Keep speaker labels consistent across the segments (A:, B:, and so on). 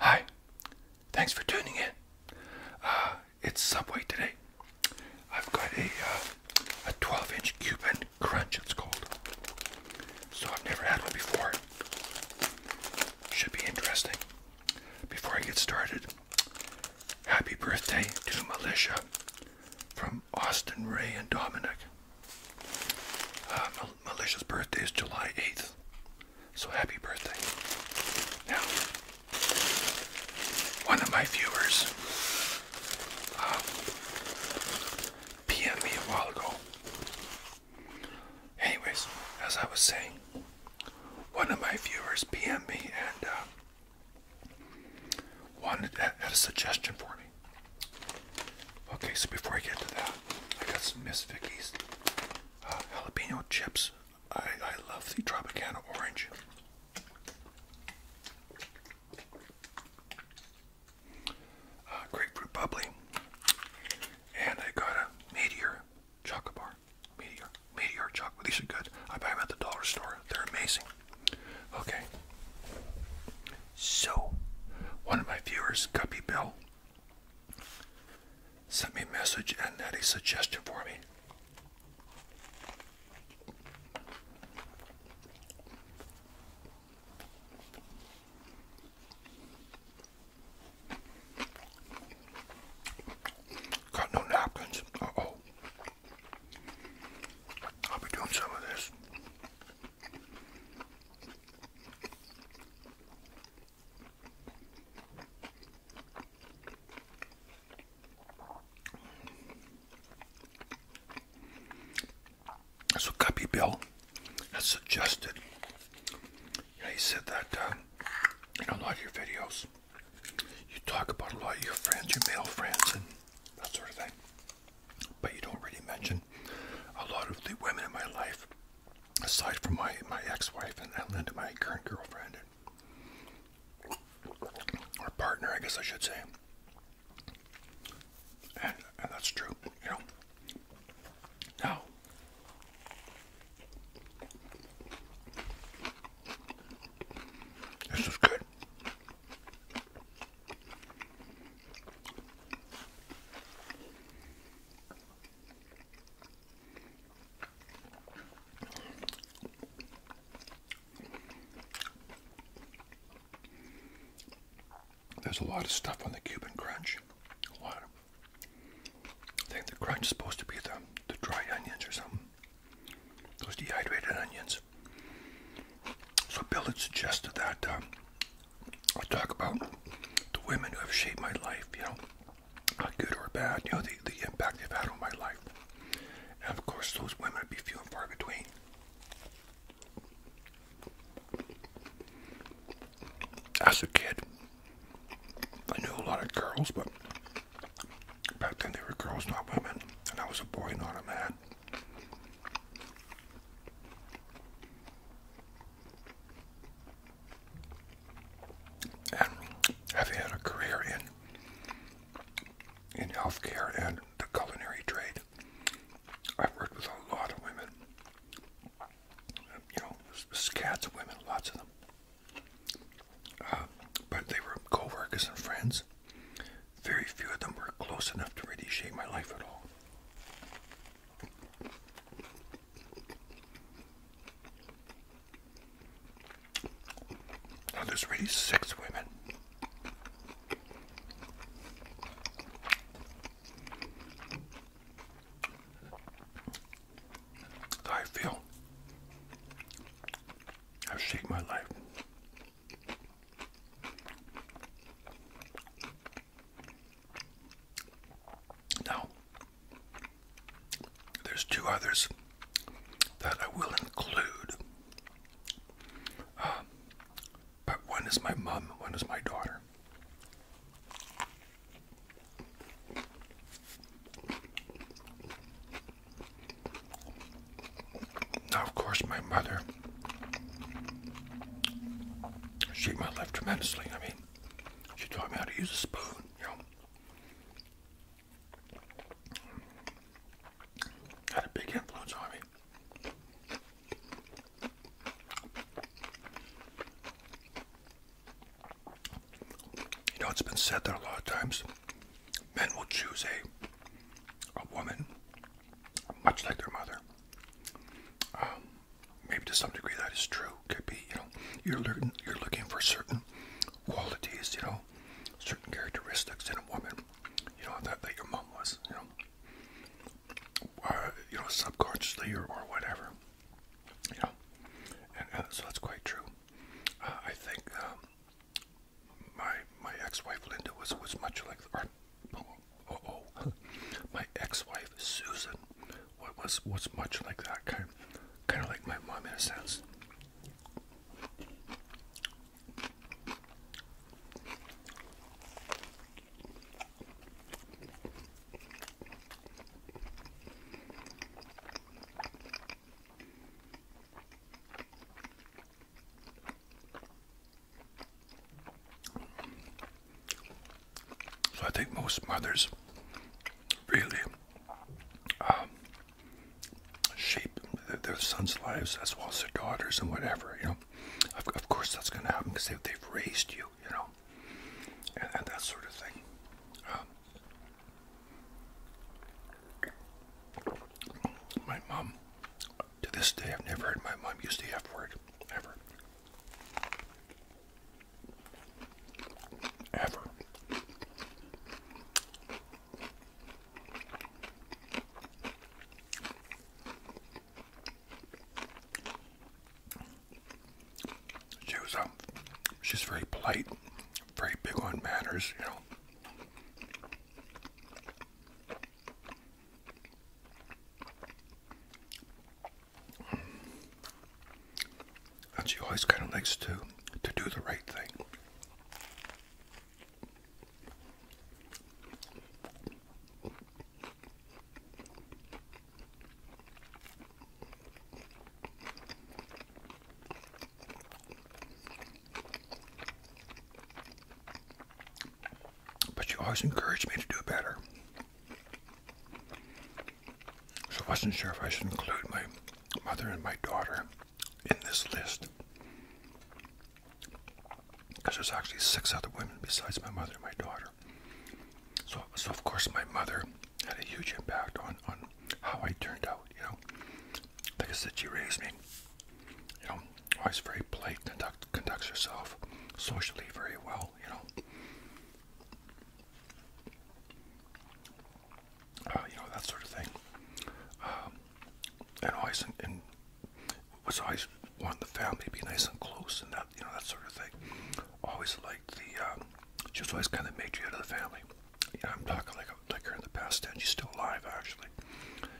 A: Hi, thanks for tuning in. Uh, it's Subway today. I've got a uh, a 12-inch Cuban crunch. It's called. So I've never had one before. Should be interesting. Before I get started, happy birthday to Militia from Austin, Ray, and Dominic. Uh, birthday is July 8th, so happy birthday. Now, one of my viewers uh, PM'd me a while ago Anyways, as I was saying, one of my viewers pm me and uh, wanted had a suggestion for me. Okay, so before I get to that, I got some Miss Vicky's uh, jalapeno chips. I, I love the Tropicana orange. Uh, grapefruit bubbly. And I got a meteor Chocolate bar. Meteor. Meteor chocolate. These are good. I buy them at the dollar store. They're amazing. Okay. So, one of my viewers, Guppy Bill, sent me a message and had a suggestion for me. Got no napkins. Uh oh. I'll be doing some of this. So Copy Bill has suggested, Yeah, he said that uh, in a lot of your videos, you talk about a lot of your friends, your male friends, and that sort of thing. But you don't really mention a lot of the women in my life, aside from my, my ex-wife and, and my current girlfriend, or partner, I guess I should say. And, and that's true, you know. Now, this is good. There's a lot of stuff on the Cuban Crunch. I think the crunch is supposed to be the, the dried onions or something. Those dehydrated onions. So Bill had suggested that um, I talk about the women who have shaped my life, you know, not good or bad, you know, the, the impact they've had on my life. And of course, those women would be few and far between. As a kid, I knew a lot of girls, but back then they were girls, not women, and I was a boy, not a man. And having had a career in in healthcare and the culinary trade, I worked with a lot of women. You know, scads of women, lots of them. Uh, but they were co and friends. Very few of them were close enough to really shape my life at all. Now there's really six women. I feel i have shaped my life. Now, there's two others that I will include. Uh, but one is my mom, one is my daughter. Now, of course, my mother, she my life tremendously. I mean, she taught me how to use a spoon, you know. Had a big influence on me. You know, it's been said that a lot of times men will choose a a woman much like their mother. Um, maybe to some degree that is true. Could be, you know, you're looking you're looking for certain qualities, you know, certain characteristics in a woman. You know that that your mom was, you know, uh, you know, subconsciously or or whatever. You know, and, and so that's quite true uh, I think um, my my ex-wife Linda was was much like our, oh, oh, oh. my ex-wife Susan was was much like that kind kind of like my mom in a sense. So I think most mothers really um, shape their, sons' lives as well as their daughters and whatever, you know. Of, course that's going to happen because they, have raised you, you know, and, that sort of thing. Um, my mom, to this day, I've never heard my mom use the F word, ever. Ever. She was um, she's very polite, very big on manners, you know. And she always kind of likes to to do the right thing. But she always encouraged me to do better. So I wasn't sure if I should include my mother and my daughter in this list. Because there's actually six other women besides my mother and my daughter. So, so of course, my mother had a huge impact on, on how I turned out, you know. Like I said, she raised me. You know, always very polite, conduct, conducts herself socially very well, you know. Uh, you know, that sort of thing. Um, and always, in, in, was always wanted the family to be nice and close and that, you know, that sort of thing. Always liked the, um, she was always kind of matriarch of the family. Yeah, I'm talking like like her in the past and she's still alive actually.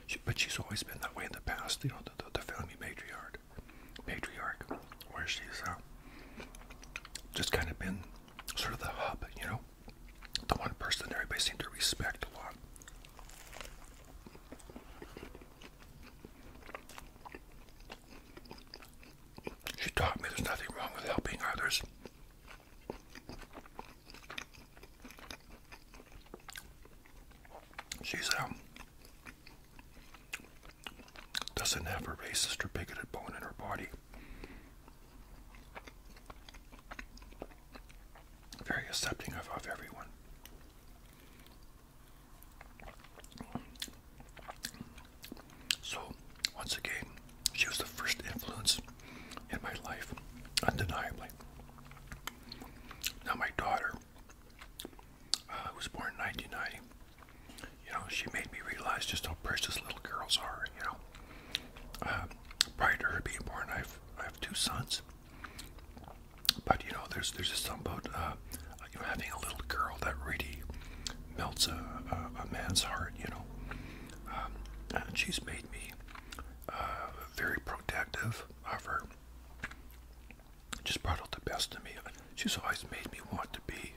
A: She, but she's always been that way in the past, you know, the, the, the family matriarch, matriarch, where she's uh, just kind of been sort of the hub, you know, the one person everybody seemed to respect a lot. She taught me there's nothing wrong with helping others. She's um doesn't have a racist or bigoted bone in her body. Very accepting of, of everyone. So, once again, she was the first influence in my life, undeniably. Now, my daughter, uh, was born in 1990, you know, she made me realize just how precious little girls are, you know. Um, prior to her being born, I've, I have two sons. But, you know, there's, there's just something about uh, you know, having a little girl that really melts a, a man's heart, you know. Um, she's made me uh, very protective of her. Just brought out the best in me. She's always made me want to be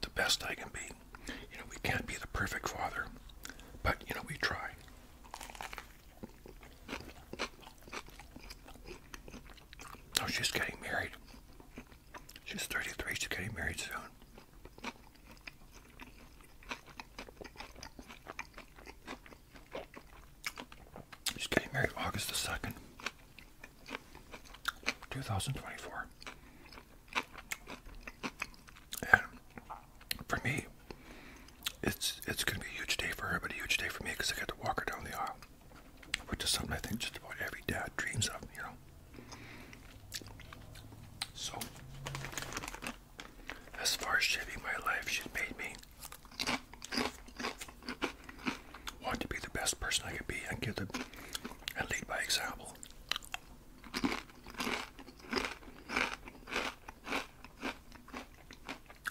A: the best I can be. You know, we can't be the perfect father, but you know, we try. Oh, she's getting married. She's 33. She's getting married soon. She's getting married August the 2nd, 2024. And for me, it's it's going to be a huge day for her, but a huge day for me because I get to walk her down the aisle, which is something I think just about every dad dreams of, you know. So, as far as shaping my life, she's made me want to be the best person I could be and give the and lead by example.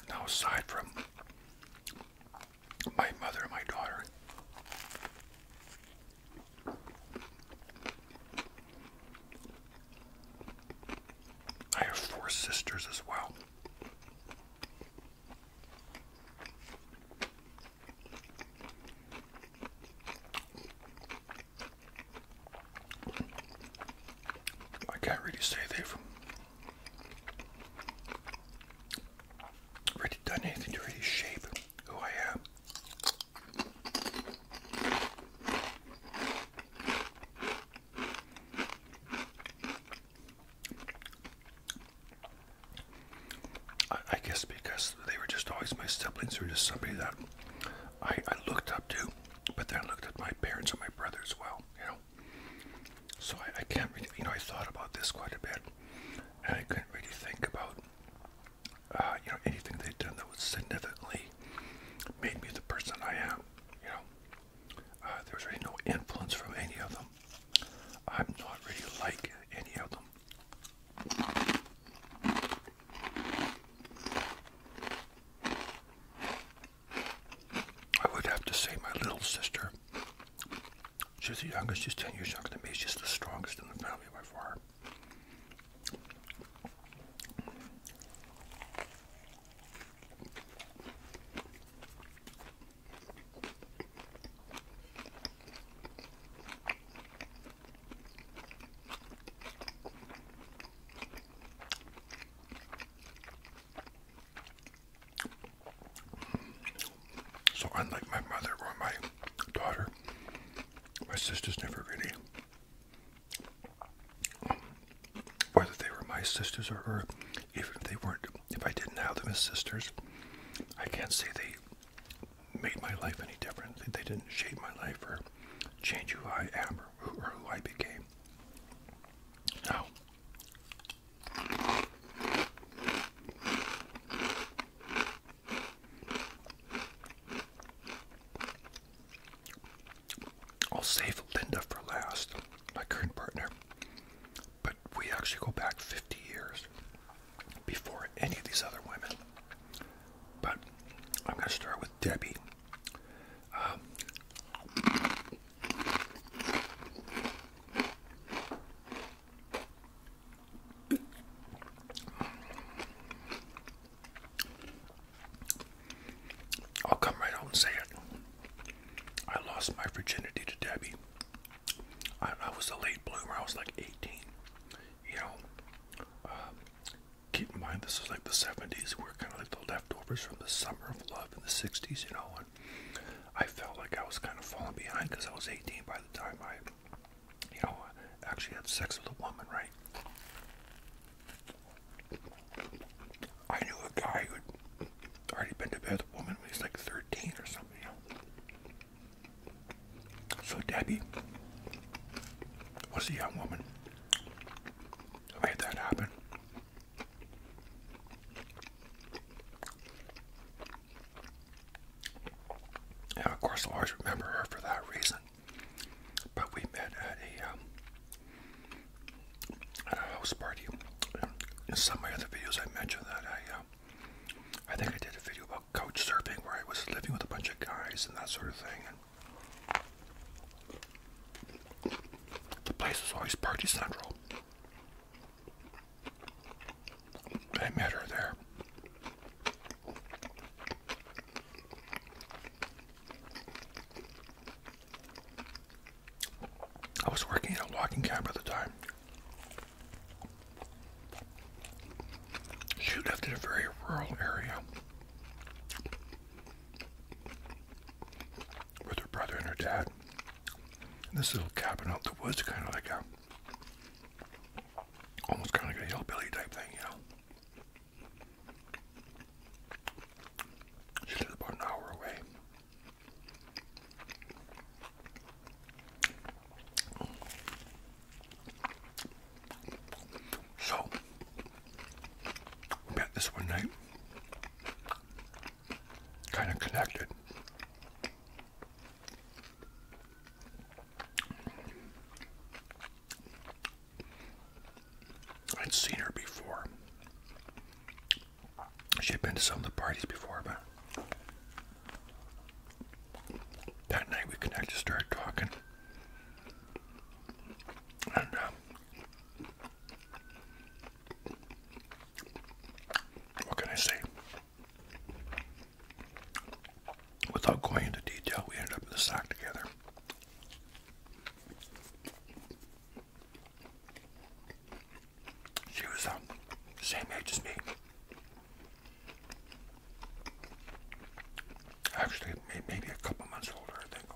A: Now, aside from my mother and my daughter, I have four sisters as well. I can't really say they've really done anything to really who I am. I, guess because they were just always my siblings, were just somebody that I, looked up to, but then I looked at my parents and my brothers as well, you know. So I can't really, you know, I thought about this quite a bit, and I couldn't really think about uh, you know, anything they've done that was significantly made me the person I am. You know, uh, there's really no influence from any of them. I'm not really like any of them. I would have to say my little sister She's the youngest, she's 10 years younger than me. She's the strongest in the family by far. So unlike my mother or my daughter, my sisters never really, um, whether they were my sisters or, her, even if they weren't, if I didn't have them as sisters, I can't say they made my life any different. They didn't shape my life or change who I am or who, or who I became. Now, I'll save Linda for last, my current partner. But we actually go back 50 years before any of these other women. But I'm going to start with Debbie. Um, I'll come right out and say it. I lost my virginity to Debbie. I, was a late bloomer. I was like 18. You know, um, keep in mind this is like the 70s. We we're kind of like the leftovers from the summer of love in the 60s. You know, and I felt like I was kind of falling behind because I was 18 by the time I you know, actually had sex with a woman, right? I knew a guy who had already been to bed with a woman when he was like 13 or something, So Debbie was the young woman made that happen. Yeah, of course, I'll always remember her for that reason. But we met at a, um, at a house party. In some of my other videos, I mentioned that I, um, I think I did a video about couch surfing where I was living with a bunch of guys and that sort of thing. And the place was always party central. I met her there. I was working in a logging camp at the time. She lived in a very rural area with her brother and her dad. In this little cabin out in the woods, kind of like a Almost kind of a hillbilly type thing, you know. She lives about an hour away. So, we met this one night, kind of connected. I'd seen her before. She'd been to some of the parties before, but that night we connected, started talking, and uh, what can I say? Without going into detail, we ended up in the sack together. She was um, the same age as me. Actually, maybe a couple months older, I think.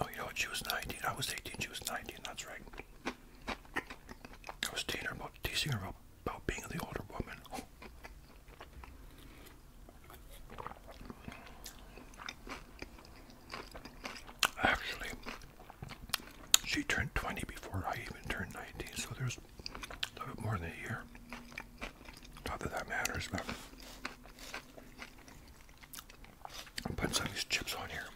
A: No, you know what? She was 19. I was 18. She was 19. That's right. I was teasing her about, being the older woman. Actually, she turned 20 before I even turned 19, so there's a little bit more than a year. Not that that matters, but I'm putting some of these chips on here.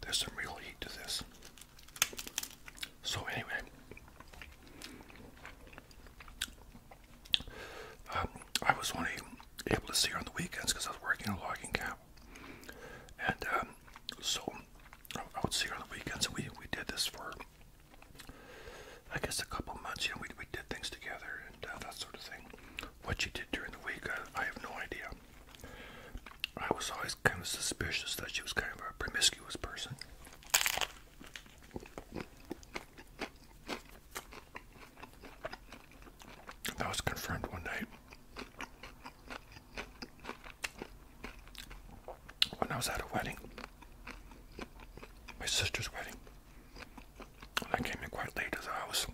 A: There's some real heat to this. So anyway, um, I was only able to see her on the weekends because I was working in a logging camp, and um, so I would see her on the weekends, and we we did this for I guess a couple months. You know, we we did things together and uh, that sort of thing. What she did during the week, I have no idea. I was always kind of suspicious that she was kind of a promiscuous person. That was confirmed one night when I was at a wedding my sister's wedding. I came in quite late to the house.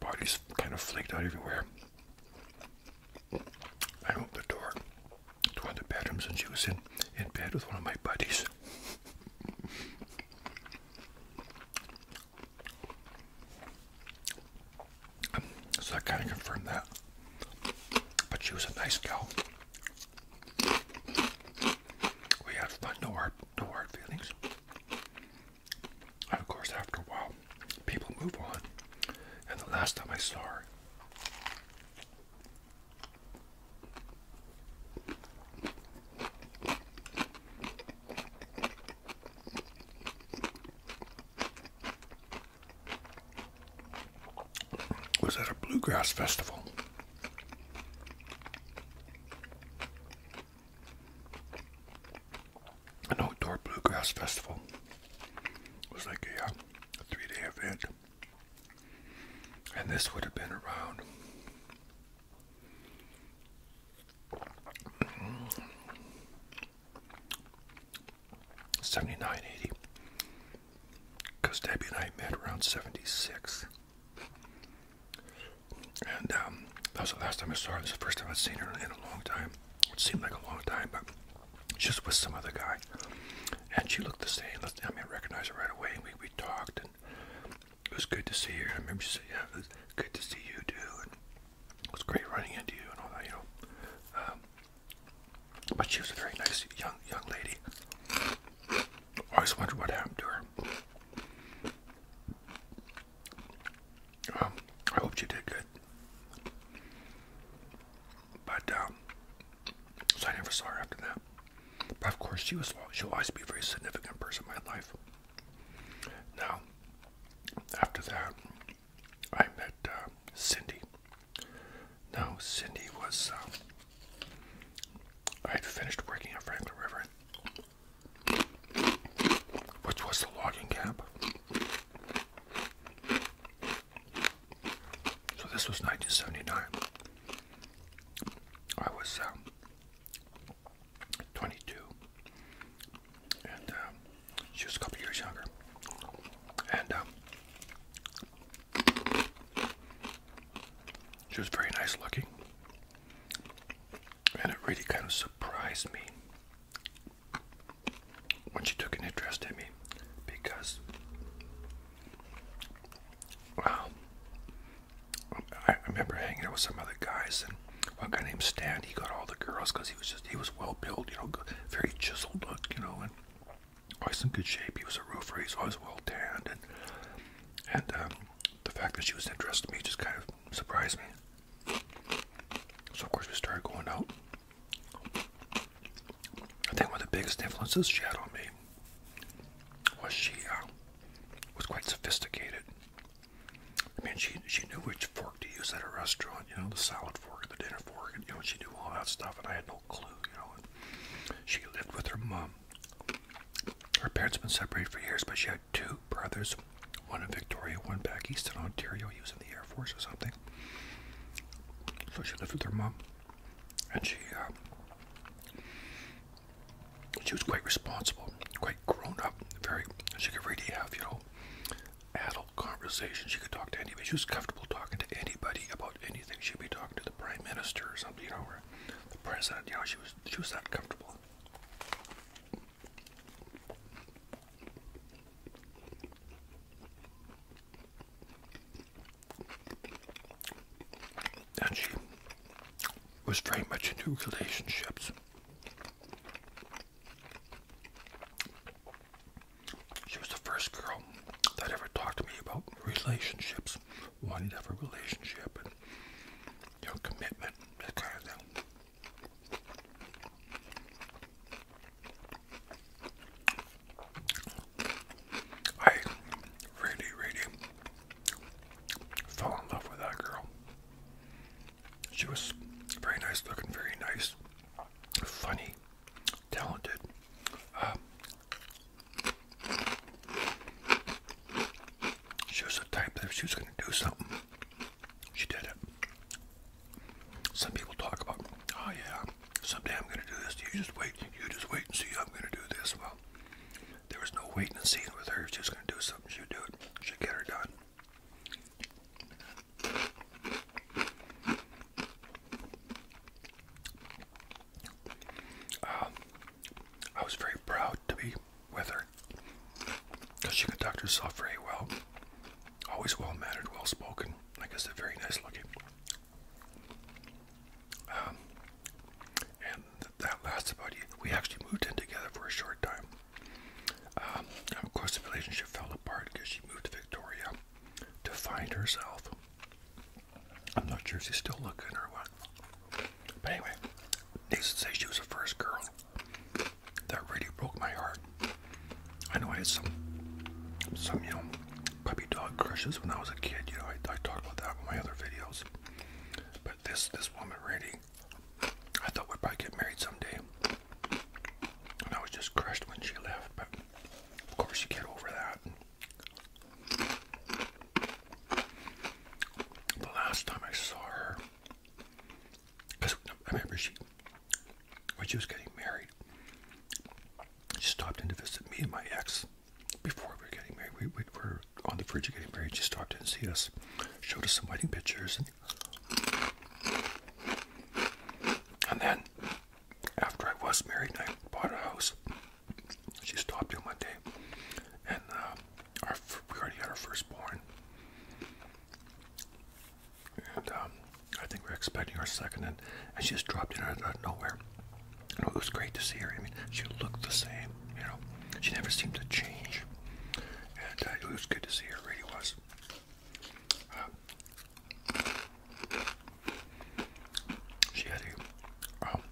A: Parties kind of flaked out everywhere. I opened the door to one of the bedrooms and she was in, in bed with one of my buddies. so I kind of confirmed that. But she was a nice girl. We had fun, no hard, no hard feelings. And of course, after a while, people move on. And the last time I saw her, was at a bluegrass festival. An outdoor bluegrass festival. It was like a, uh, three day event. And this would have been around. Seventy nine, eighty, because Debbie and I met around '76, and um, that was the last time I saw her. This is the first time i have seen her in a long time. It seemed like a long time, but just with some other guy. And she looked the same. I mean, I recognized her right away. And we we talked, and it was good to see her. I remember she said, "Yeah, good to see you too." And it was great running into you and all that, you know. Um, but she was a very nice young young lady. I always wondered what happened to her. I hope she did good. But um, so I never saw her after that. But of course, she was she'll always be a very significant person in my life. Now, after that, I met uh, Cindy. No, Cindy was. Um, I had finished working at Franklin River, which was the logging camp. So this was 1979. I was um, 22, and um, she was a couple years younger. And um, she was very nice looking. And it really kind of surprised me when she took an interest in me because, well, I remember hanging out with some other guys and one guy named Stan, he got all the girls because he was just, he was well built, you know, very chiseled look, you know, and always in good shape. He was a roofer. He's always well tanned, and and um, the fact that she was interested in me just kind of surprised me. So of course we started going out. I think one of the biggest influences she had on me was she um, was quite sophisticated. I mean, she she knew which fork to use at a restaurant. You know, the salad fork, the dinner fork, and you know she knew all that stuff. And I had no clue, you know. She lived with her mom. Her parents had been separated for years, but she had two brothers, one in Victoria, one back east in Ontario. using the Air Force or something. So she lived with her mom, and she uh, she was quite responsible, quite grown up, very. She could really have you know adult conversations. She could talk to anybody. She was comfortable talking to anybody about anything. She'd be talking to the prime minister or something, you know, or the president. You know, she was she was not comfortable. And she was very much into relationships. She was the first girl that ever talked to me about relationships wanting to have a relationship and you commitment, that I really, really fell in love with that girl. She was very nice looking, very nice, funny, talented. Um, she was a type that she was going to do something, she did it. Some people talk about, oh yeah, someday I'm going to do this. You just wait. You just wait and see. I'm going to do this. Well, there was no waiting and seeing with her. she was going to do something, she would do it. She'd get her done. Um, I was very proud to be with her because she conducted herself very well. Always well mannered, well spoken. I guess they're very nice looking. Um, and that lasted about We actually moved in together for a short time. Um, of course, the relationship fell apart because she moved to Victoria to find herself. I'm not sure if she's still looking or what. But anyway, needs to say she was the first girl. That really broke my heart. I know I had some, some you know, puppy dog crushes when I was a kid. You know, I, I talked about that in my other videos. But this this woman really, I thought we'd probably get married someday. And I was just crushed when she left. But of course, you get over that. The last time I saw her, I remember she, when she was getting married, she stopped in to visit me and my ex. Before we were getting married, we, were on the verge of getting married. She stopped in to see us, showed us some wedding pictures, and then after I was married, I bought a house she stopped in one day, and uh, we already had our firstborn, and um, I think we are expecting our second, and, she just dropped in out, of nowhere. it was great to see her. I mean, she looked the same. You know, she never seemed to change, and uh, it was good to see her. It really was. Uh, she had um,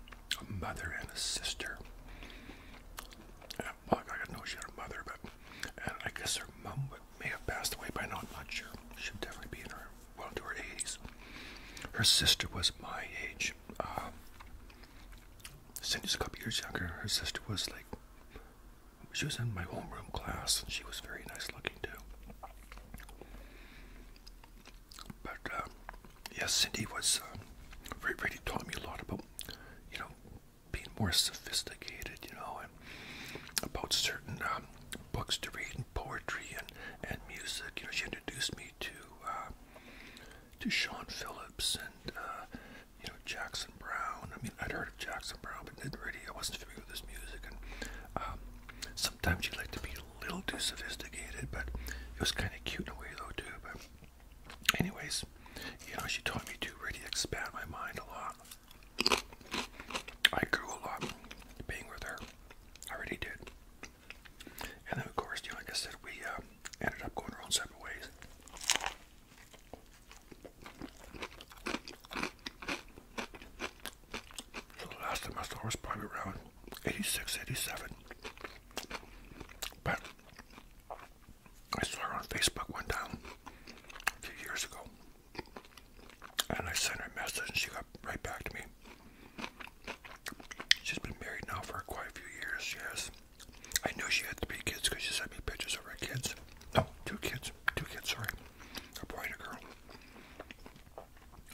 A: a, mother and a sister. I didn't know she had a mother, but I guess her mom may have passed away by now. I'm not sure. She would definitely be in her well into her 80s. Her sister was my age. Um, Cindy's a couple years younger. Her sister was like, she was in my homeroom class, and she was very nice looking too. But uh, um, yeah, Cindy was uh, really taught me a lot about you know being more sophisticated, you know, and about certain um, books to read and poetry and and music. You know, she introduced me to uh, to Sean Phillips and uh, you know Jackson Brown. I mean, I'd heard of Jackson Brown, but didn't really I wasn't familiar with his music and. Um, sometimes you like to be a little too sophisticated, but it was kind of cute in a way, though, too. But, anyways, you know, she taught me to really expand my mind a lot. I grew a lot being with her. I already did. And then, of course, you know, like I said, we uh, ended up going our own separate ways. So the last time I saw her was probably around 86, 87. But I saw her on Facebook one time a few years ago. And I sent her a message and she got right back to me. She's been married now for quite a few years, she has. I knew she had three kids because she sent me pictures of her kids. No, two kids. Two kids, sorry. A boy and a girl.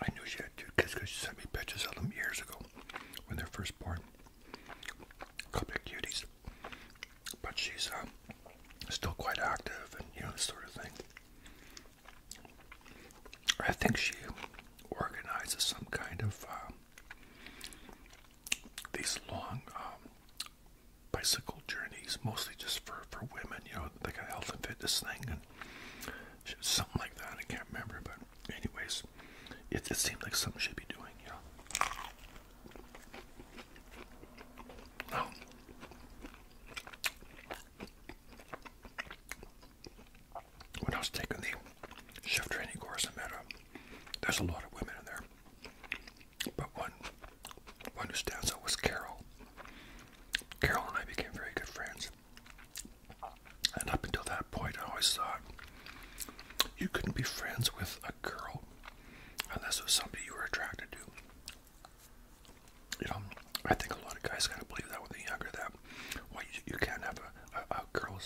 A: I knew she good, dude, because she sent me pictures of them years ago when they're first born. A couple of cuties. But she's um, still quite active and, you know, this sort of thing. I think she organizes some kind of um, these long um, bicycle journeys, mostly just for, for women, you know, like a health and fitness thing and something like that. I can't remember, but anyways, it, it seemed like something should be doing, you know. Now, when I was taking the chef training course, I met there's a lot of women in there, but one, one who stands out was Carol. Carol and I became very good friends. And up until that point, I always thought you couldn't be friends with a girl unless it was somebody you were attracted to. You know, I think a lot of guys kind of believe that when they're younger that well, you, can't have a, girl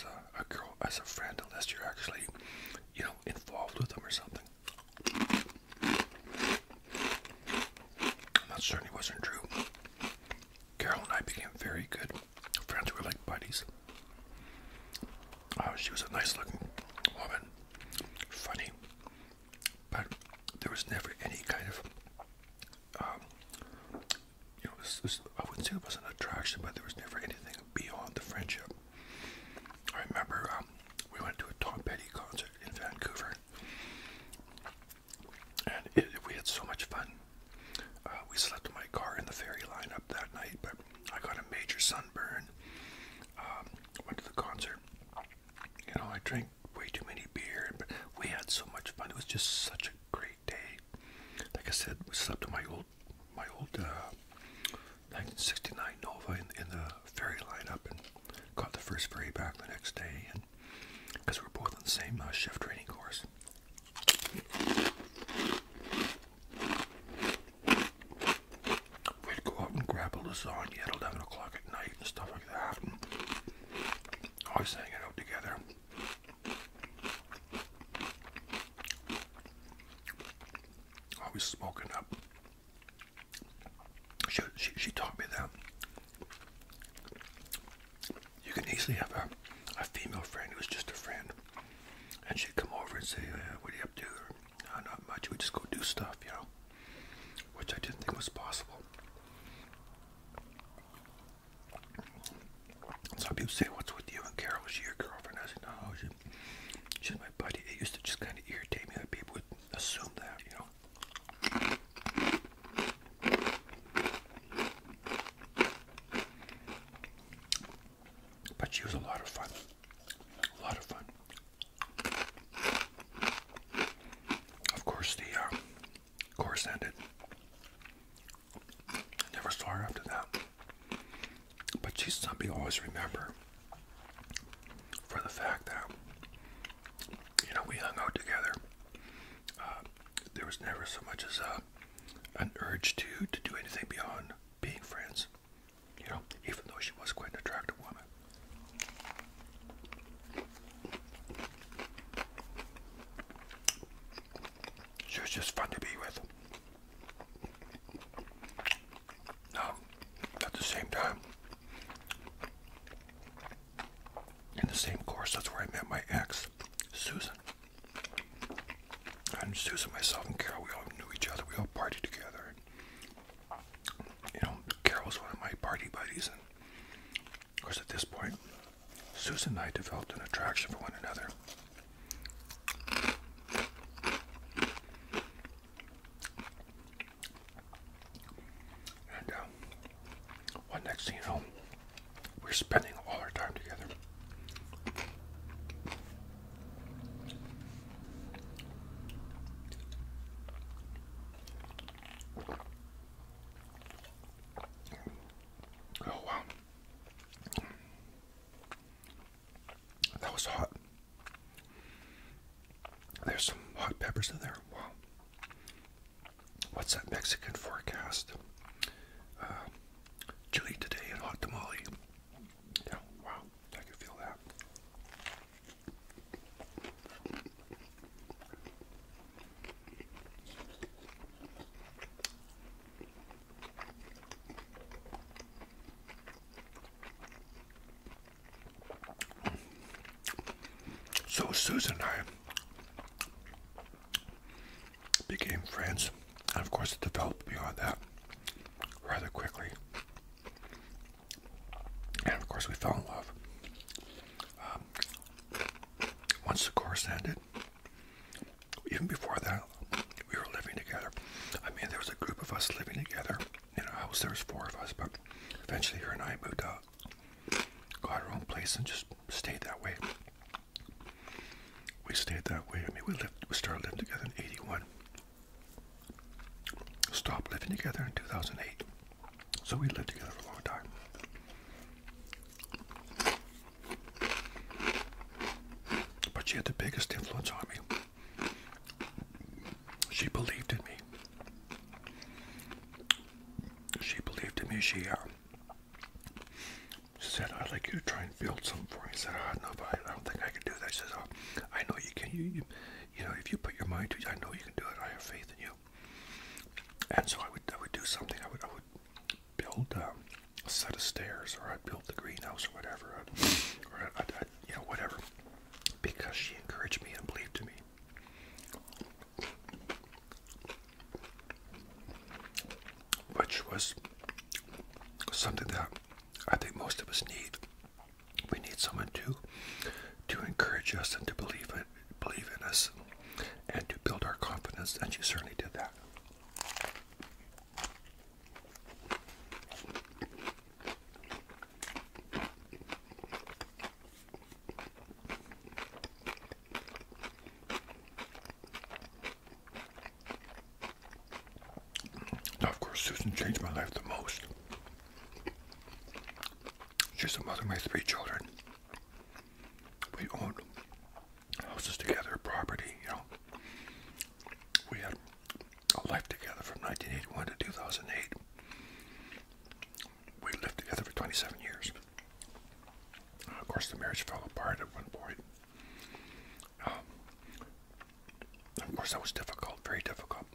A: as a, friend unless you're actually, you know, involved with them or something. And that certainly wasn't true. Carol and I became very good friends. We were like buddies. Uh, she was a nice looking woman, funny, but there was never any kind of, um, you know, I wouldn't say it was an attraction, but there was never anything beyond the friendship. I remember um, we went to a Tom Petty concert in Vancouver and we had so much fun. Uh, we slept in my car in the ferry line up that night, but I got a major sunburn. Um, went to the concert. You know, I drank way too many beer, but we had so much fun. It was just such a great day. Like I said, we slept in my old, my old 1969 uh, Nova in, the ferry lineup, and caught the first ferry back the next day good because we're both on the same uh, training course. We'd go out and grab a lasagna at 11 o'clock at night and stuff like that. always hanging out together. Always smoking up. She, she, she taught me that you can easily have a, a female friend who's just a friend, and she'd come over and say, "What are you up to?" Or, no, "Not much. We just go do stuff," you know, which I didn't think was possible. Some people say, "What's with you and Carol? Is she your girlfriend?" I said, "No, she's my buddy." It used to just kind of irritate me that people would assume that, you know. But she was a lot of fun. A lot of fun. Of course, the uh, course ended. I never saw her after that. But she's something I always remember for the fact that, you know, we hung out together uh, there was never so much as uh, an urge to to do anything beyond being friends. You know, even though she was quite an attractive woman. She was just fun to be with. Now, at the same time, in the same course. That's where I met my ex, Susan. And Susan, myself, and Carol, we all knew each other. We all partied together. You know, Carol was one of my party buddies. And of course, at this point, Susan and I developed an attraction for one another. And uh, well, next thing you know, we're spending all our time together. Oh, wow. That was hot. There's some hot peppers in there. Wow what's that Mexican forecast? Uh, chili today and hot tamale. Yeah, wow, I can feel that. So Susan I became friends, and of course, it developed beyond that rather quickly. And of course, we fell in love. Um, once the course ended, even before that, we were living together. I mean, there was a group of us living together in a house. There was four of us, but eventually her and I moved out, got our own place, and just stayed that way. We stayed that way. I mean, we lived, we started living together in 81. Stopped living together in 2008. So we lived together for a long time. But she had the biggest influence on me. She believed in me. She believed in me. She, uh, she said, I'd like you to try and build something for me. I said, oh, no, but I don't think I can do that. She says, oh, I know you can. You, you, you know, if you put your mind to it, I know you can do it. I have faith in you. And so I would, I would do something. I would, I would build um, a set of stairs, or I'd build the greenhouse, or whatever, I'd, or I'd, I'd, you know, whatever, because she encouraged me and believed in me which was something that I think most of us need. We need someone to to encourage us and to believe believe in us, and to build our confidence. And she certainly did that of course, Susan changed my life the most. She's the mother of my three children. We own houses together, property, you know. We had a life together from 1981 to 2008. We lived together for 27 years. Of course, the marriage fell apart at one point. Um, of course, that was difficult, very difficult.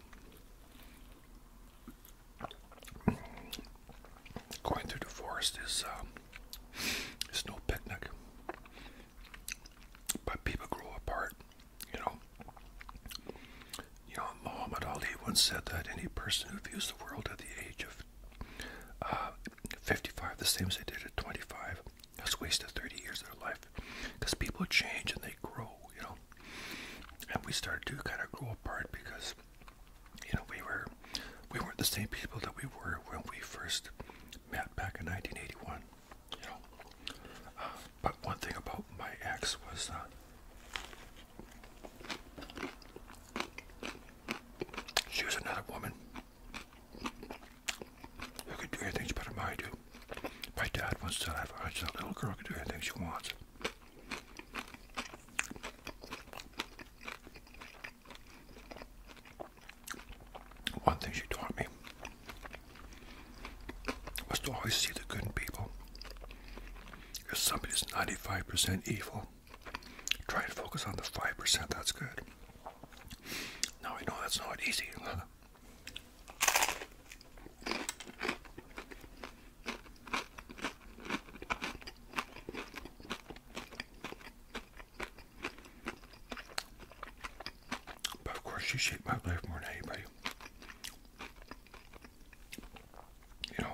A: Going through the forest is um, is no picnic, but people grow apart. You know, you know. Muhammad Ali once said that any person who views the world at the age of uh, 55 the same as they did at 25. That's wasted 30 years of their life because people change and they grow, you know. And we started to kind of grow apart because, you know, we were we weren't the same people that we were when we first met back in 1981. You know, uh, but one thing about my ex was. Uh, she was another woman who could do anything better than I do. My dad wants to have said, a little girl can do anything she wants. One thing she taught me was to always see the good in people. because somebody's 95% evil, Try to focus on the 5%, that's good. Now I know that's not easy. But of course, you shaped my life more than anybody. You know,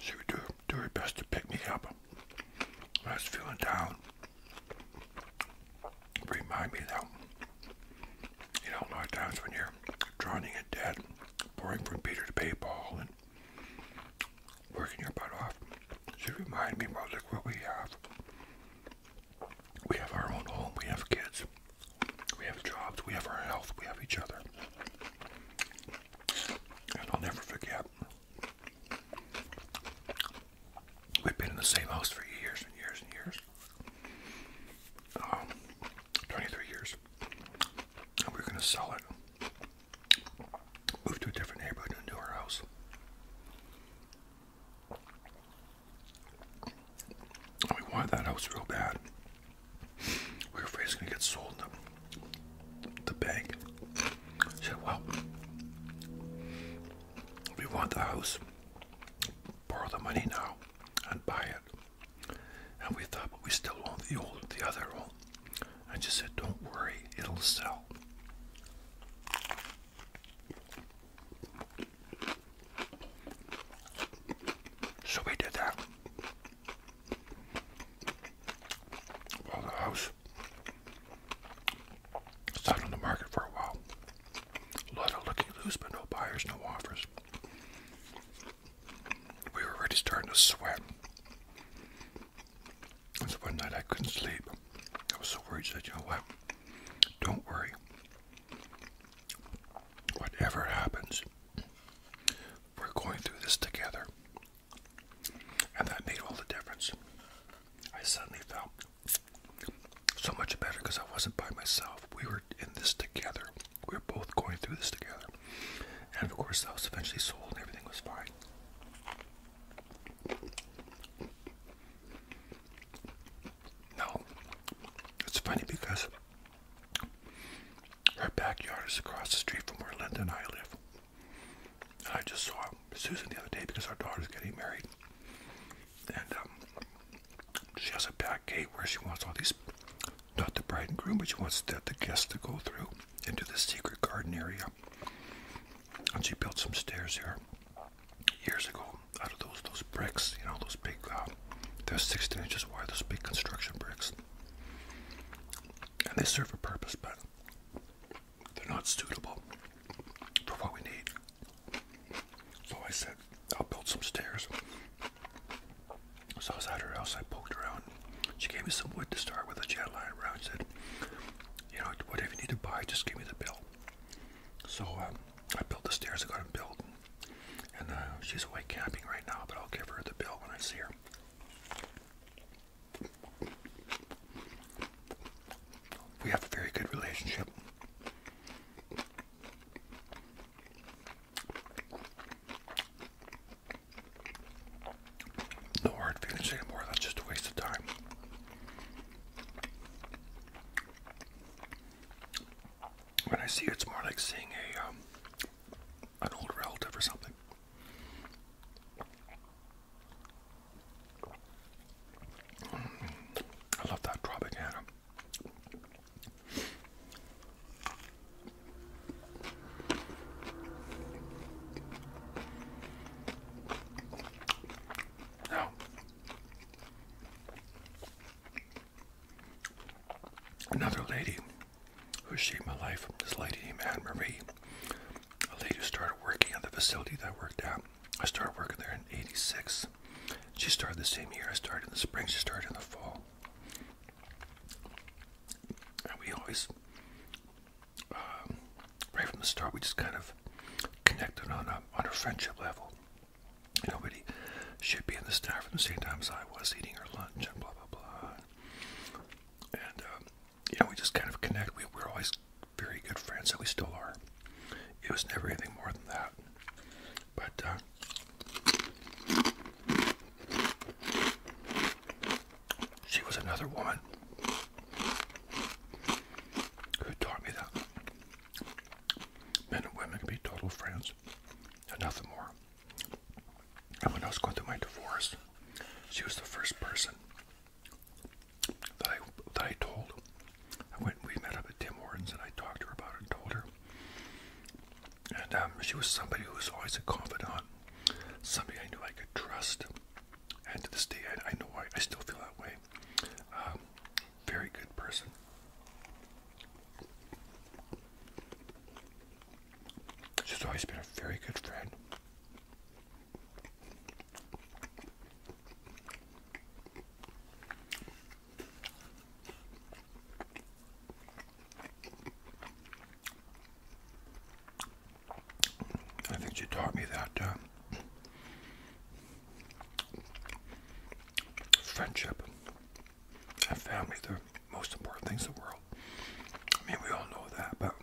A: she would do, do her best to pick me up I was feeling down. Remind me that, you know, a lot of times when you're drowning in debt, pouring from Peter to Pay PayPal, and working your butt off, she would remind me, of look what we have. We have our own home, we have kids, we have jobs, we have our health, we have each other. And I'll never forget. We've been in the same house for years and years and years. Um, 23 years. And we are going to sell it. Move to a different neighborhood and do our house. We wanted that house real bad. We were afraid it's gonna get sold to the bank. said, well, we want the house. Borrow the money now and buy it. And we thought, but we still own the old, the other one. I just said, don't worry, it'll sell. So we did that. Well, the house it's on the market for a while. A lot of looking loose, but no buyers, no offers. We were already starting to sweat. one night I couldn't sleep. I was so worried. said, you know what? Don't worry. Whatever happens, we're going through this together. And that made all the difference. I suddenly felt so much better because I wasn't by myself. We were in this together. We were both going through this together. And of course, I was eventually sold and everything was fine. No. It's funny because her backyard is across the street from where Linda and I live. And I just saw Susan the other day because our daughter's getting married. And um, she has a back gate where she wants all these, not the bride and groom, but she wants the, the guests to go through into the secret garden area. And she built some stairs here years ago out of those those bricks, you know, those big, um, they're 16 inches wide, those big construction bricks. And they serve a purpose, but they're not suitable for what we need. So I said, I'll build some stairs. So I was at her house, I poked around. She gave me some wood to start with, a jet line around. She said, you know, whatever you need to buy, just give me the bill. So um, I built the stairs I got them built. And uh, she's away camping right now, but I'll give her the bill when I see her. We have a very good relationship. No hard feelings anymore, that's just a waste of time. When I see it, it's more like seeing a um, an old relative or something. Mm. I love that Tropicana. Now, Another lady who shaped my life, this lady named Anne Marie, a lady who started working at the facility that I worked at. I started working there in 86. She started the same year I started in the spring, she started in the fall. And we always, um, right from the start, we just kind of connected on a, on a friendship level. Nobody should be in the staff at the same time as I was eating her lunch and blah blah blah. And um, you know, we just kind of connect. We were always very good friends, and we still are. It was never anything more than that. But uh, she was another woman who taught me that Men and women can be total friends and nothing more. And when I was going through my divorce, she was the first person that I, that I told. I went, we met up at Tim Hortons and I talked to her about it and told her. And um, she was somebody who was always a confidant, somebody I knew I could trust. And to this day, I, know I, I still feel that way. Um, very good person. She's always been a very good friend. I think she taught me that uh, Friendship and family, the most important things in the world. I mean, we all know that, but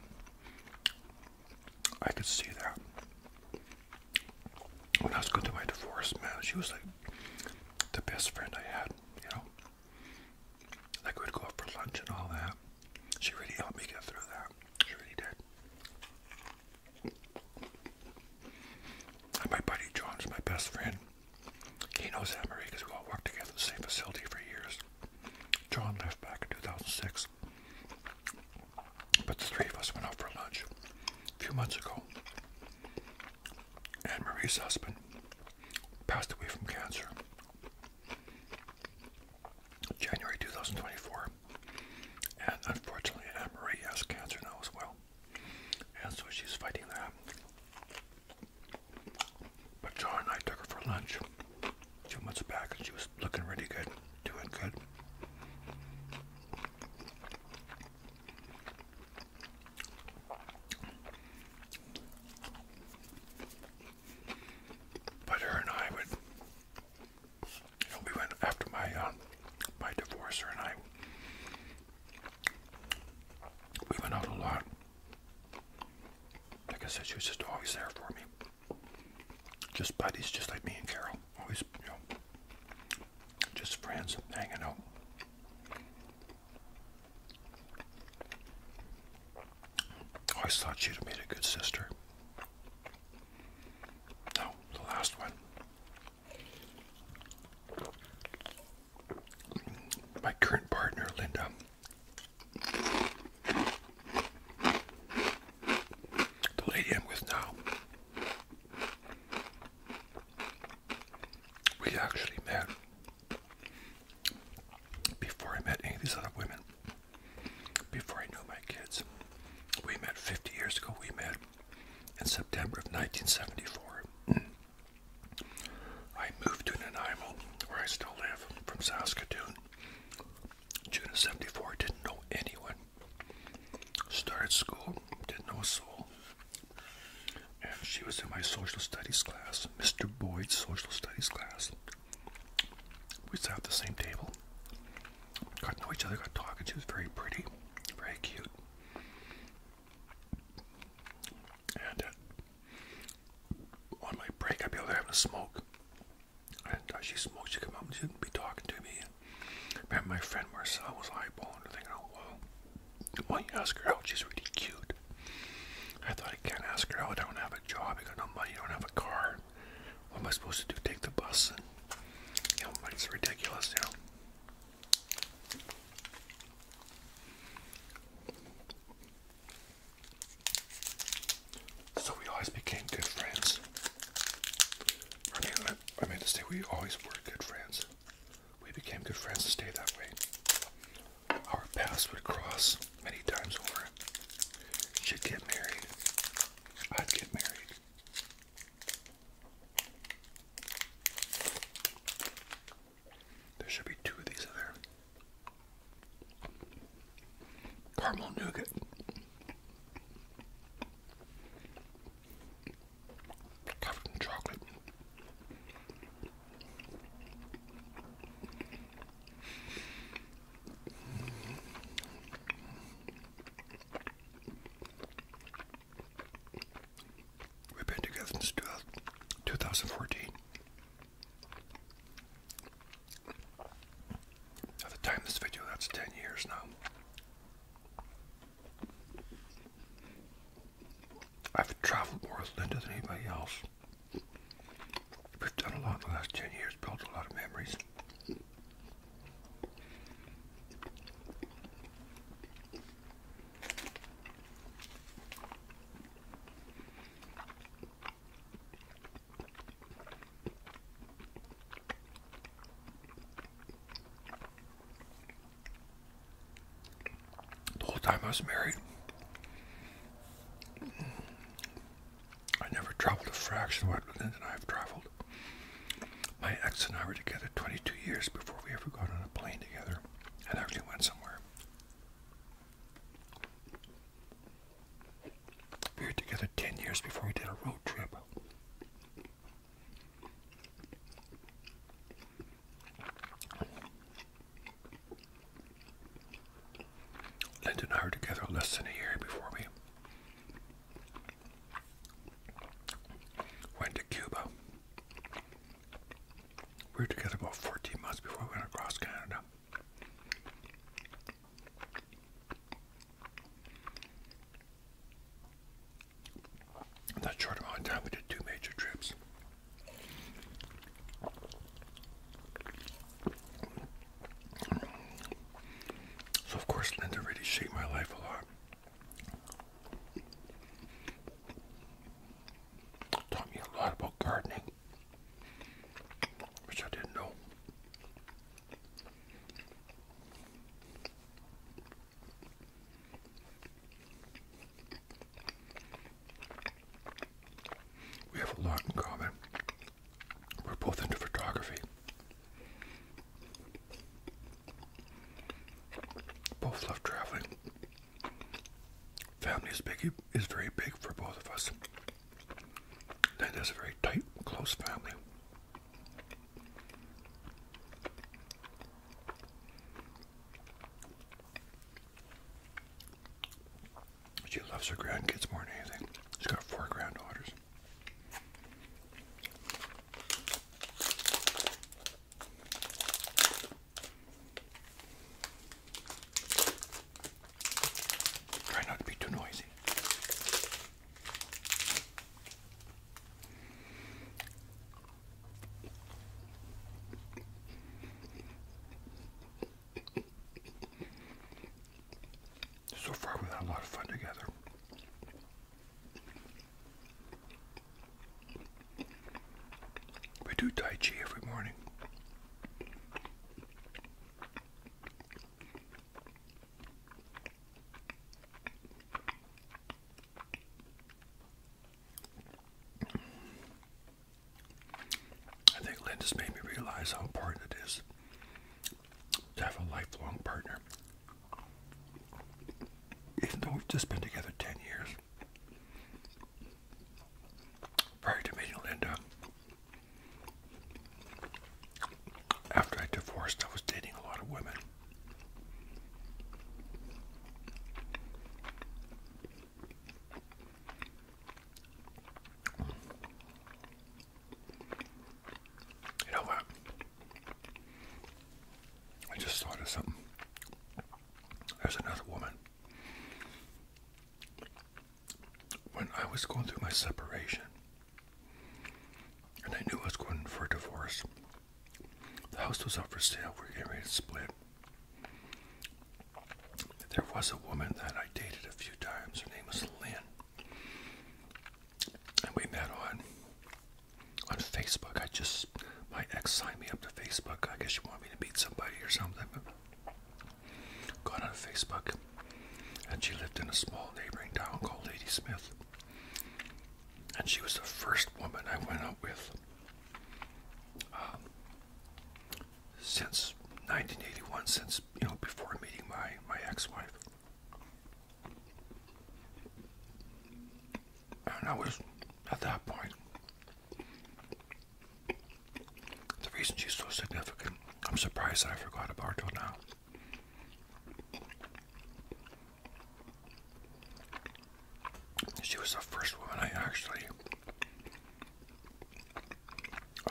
A: I could see that. When I was going through my divorce, man, she was like the best friend I had, you know? Like, we'd go out for lunch and all that. She really helped me get through that. She really did my buddy John's my best friend. He knows Anne-Marie because we all worked together at the same facility for years. John left back in 2006. But the three of us went out for lunch a few months ago. Anne-Marie's husband passed away from cancer. January 2024. And unfortunately, Anne Marie has cancer now as well. And so she's fighting that. But John and I took her for lunch two months back, and she was looking really good, doing good. But her and I would we went after my um, my divorcer and I. We went out a lot. Like I said, she was just always there for me. Just buddies, just like me and Carol. Always, you know, just friends hanging out. Always thought she'd have made a good sister. No, the last one. My current partner, Linda, the lady I'm with now, we actually met before I met any of these other women, before I knew my kids. We met 50 years ago, we met in September of 1974. I moved to Nanaimo, where I still live, from Saskatoon. June of 74, didn't know anyone. Started school, didn't know a soul. And she was in my social studies class, Mr. Boyd's social studies class. We sat at the same table, got to know each other, got talking. She was very pretty. Very cute. And uh, on my break, I'd be over there having a smoke. And uh, she smokes. she'd come up and she'd be talking to me. Me and my friend Marcel was eyeballing her, thinking, oh, well, why don't you ask her out? She's really cute. I thought, I can't ask her out. I don't have a job. I got no money. I don't have a car. What am I supposed to do? Take the bus? And, you know, it's ridiculous, you know. So we always became good friends. I mean, I mean to say we always were good friends. We became good friends to stay that way. Our paths would cross many times over. Should get married. I'd get married. There should be two of these in there. Caramel nougat. Covered in chocolate. We've been together since 2014. At the time this video, that's 10 years now. I've traveled more with Linda than anybody else. We've done a lot in the last 10 years, built a lot of memories. The whole time I was married, I never traveled a fraction of what Linda and I have traveled. My ex and I were together 22 years before we ever got on a plane together and actually went somewhere. We were together 10 years before we did a road trip. Linda and I were together less than a year before we Went to Cuba. We were together about 14 months before we went across Canada. that short amount of time, we did two major trips. So, of course, Linda really shaped my life a lot. Taught me a lot about gardening, which I didn't know. We have a lot in common. We're both into photography. Both love traveling. Family is big is very big for both of us. That is a very tight, close family. She loves her grandkids more than anything. She's got four granddaughters. Try not to be too noisy. So far, we've had a lot of fun together. We do Tai Chi every morning. I think Linda's made me realize how important it is to have a lifelong partner even though we've just been together 10 years. Prior to meeting Linda, after I divorced, I was dating a lot of women. You know what? I just thought of something. There's another woman. When I was going through my separation, and I knew I was going for a divorce, the house was up for sale. We are getting ready to split. There was a woman that I dated a few times. Her name was Lynn. And we met on on Facebook. I just my ex signed me up to Facebook. I guess she wanted me to meet somebody or something. Got on Facebook, and she lived in a small neighboring town called Lady Smith. And she was the first woman I went out with um, since 1981, since you know before meeting my my ex-wife. And I was at that point. The reason she's so significant, I'm surprised that I forgot about her till now. She was the first woman I actually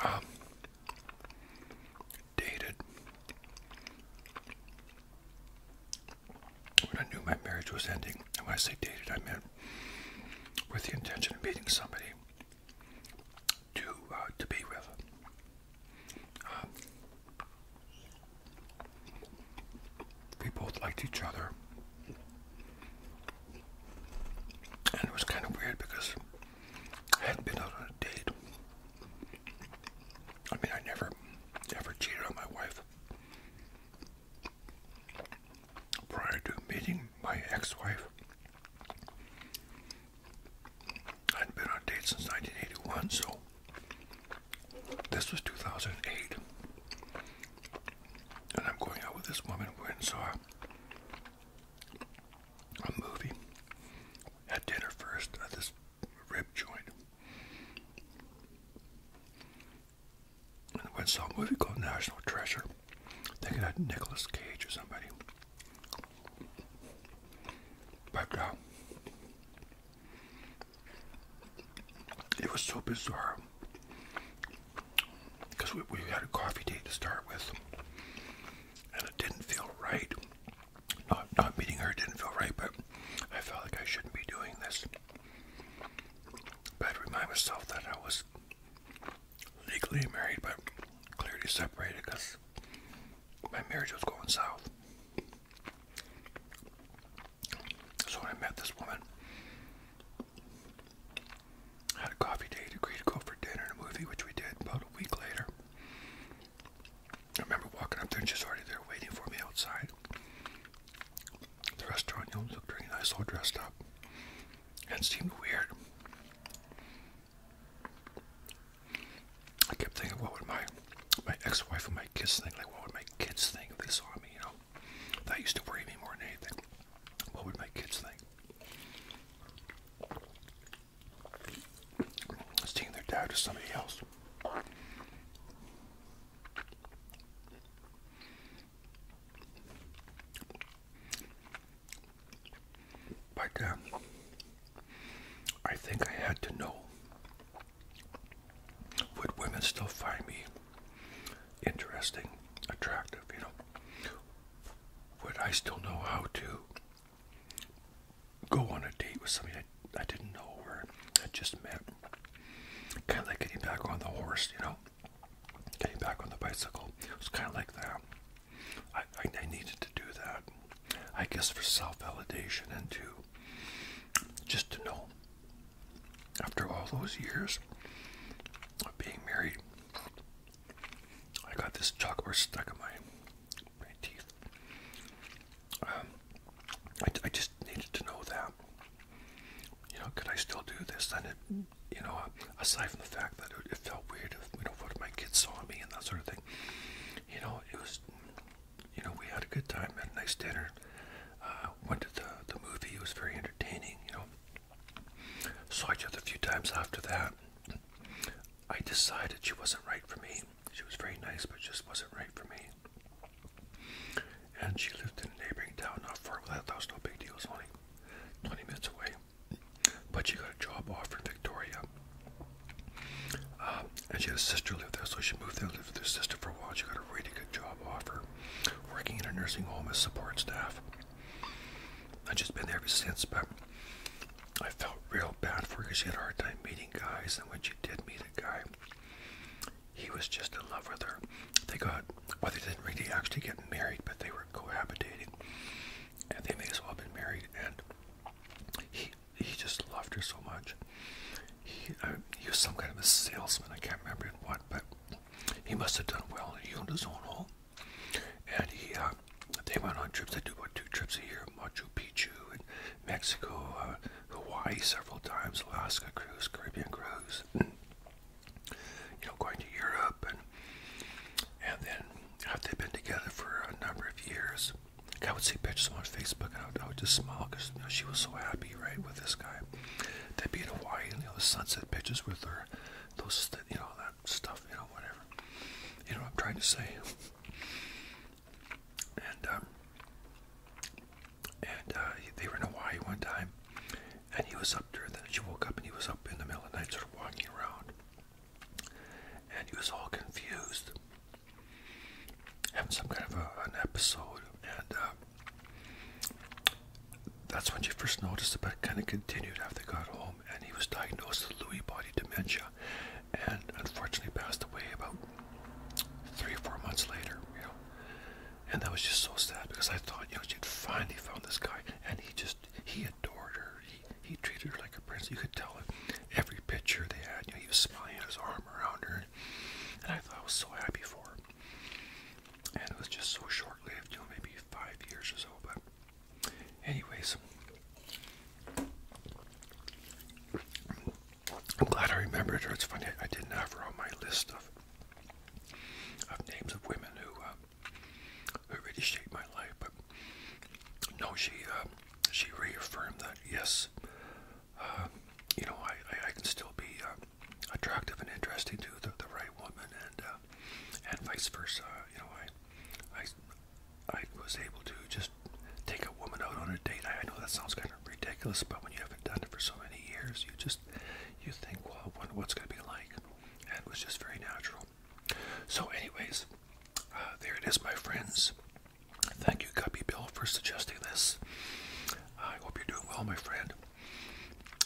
A: um, dated when I knew my marriage was ending, and when I say dated, I meant with the intention of meeting somebody to uh, to be with. Um, we both liked each other, and it was kind of weird because I hadn't been out on a date I mean, I never, ever cheated on my wife. Prior to meeting my ex-wife, I'd been on dates since 1981, so this was 2008. And I'm going out with this woman. We went and saw a movie. Had dinner first at this rib joint. And I went saw a movie called National Treasure, thinking that Nicolas Cage or somebody. But uh, it was so bizarre because we, we had a coffee date to start with, and it didn't feel right not, not meeting her didn't feel right, but I felt like I shouldn't be doing this. But I remind myself that I was legally married, but clearly separated because my marriage was going south. So when I met this woman, I had a coffee date, agreed to go for dinner and a movie, which we did about a week later. I remember walking up there and she's already there waiting for me outside. The restaurant, you know, looked really nice, all dressed up. And seemed weird. I kept thinking, what would my my ex-wife and my kids think? Like, what would my kids think if they saw me? You know, that used to worry me more than anything. What would my kids think? Seeing their dad or somebody else. But uh, I think I had to know would women still find me interesting, attractive, you know? Would I still know how to go on a date with somebody I, I didn't know or I just met? Kind of like getting back on the horse, you know, getting back on the bicycle. It was kind of like that. I, I, needed to do that, I guess, for self validation and to just to know after all those years of being married, I got this chalkboard stuck in my, my teeth um, I, I just needed to know that. You know, could I still do this? And it, you know, aside from the fact that it, it felt weird, if, you know, what if my kids saw me and that sort of thing. You know, it was, you know, we had a good time, had a nice dinner. Uh, went to the, the movie, it was very entertaining, you know. Saw each other a few times after that. I decided she wasn't right for me. She was very nice, but just wasn't right for me. And she lived in a neighboring town not far away. That was no big deal. It was only 20 minutes away. But she got a job offer in Victoria. Um, and she had a sister live there, so she moved there, and lived with her sister for a while. She got a really good job offer, working in a nursing home as support staff. I've just been there ever since, but I felt real bad for her because she had a hard time meeting guys, and when she did meet a guy, he was just in love with her. They got, well, they didn't really actually get married, but they were cohabitating. And they may as well have been married. And he he just loved her so much. He, uh, he was some kind of a salesman, I can't remember what, but he must have done well. He owned his own home. And he, uh, they went on trips. They do, what, two trips a year, Machu Picchu and Mexico, uh, Hawaii several times, Alaska cruise, Caribbean cruise, you know, going to Europe, and and then have they been together for a number of years, I would see pictures on Facebook, and I would, I would just smile because she was so happy, right, with this guy. They'd be in Hawaii, you know, the sunset pictures with her, those, you know, that stuff, you know, whatever. You know what I'm trying to say? and um, and uh, they were in Hawaii one time, and he was up during that. She woke up and he was up in the middle of the night, sort of walking around, and he was all confused, having some kind of an episode, and. Uh, that's when she first noticed it, but kind of continued after they got home, and he was diagnosed with Lewy body dementia, and unfortunately passed away about three or four months later, you know. And that was just so sad because I thought, you know, she'd finally found this guy and he just he adored her. He he treated her like a princess. You could tell it every picture they had, you know, he was smiling his arm around her. And I thought I was so happy for her. And it was just so short lived, you know, maybe five years or so, but anyways I'm glad I remembered her. It's funny, I didn't have her on my list of, of names of women who, uh, who really shaped my life, but no, she, uh, she reaffirmed that, yes, uh, you know, I, I, I can still be uh, attractive and interesting to the, the right woman, and uh, and vice versa. You know, I, I I was able to just take a woman out on a date. I, I know that sounds kind of ridiculous, but when you haven't done it for so many years, you just you think, well, what's going to be like, and it was just very natural. So, anyways, uh, there it is, my friends. Thank you, Guppy Bill, for suggesting this. I hope you're doing well, my friend.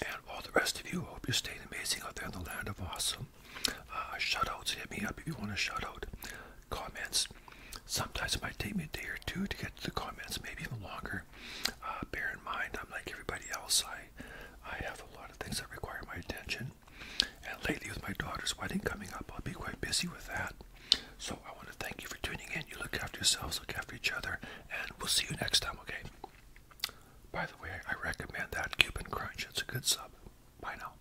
A: And all the rest of you, I hope you're staying amazing out there in the land of awesome. Uh, shout outs, hit me up if you want a shout out comments. Sometimes it might take me a day or two to get to the comments, maybe even longer. Uh, bear in mind, I'm like everybody else. I, I have a lot of things that require my attention. And lately, with my daughter's wedding coming up, I'll be quite busy with that. So I want to thank you for tuning in. You look after yourselves, look after each other, and we'll see you next time, okay? By the way, I recommend that Cuban Crunch. It's a good sub. Bye now.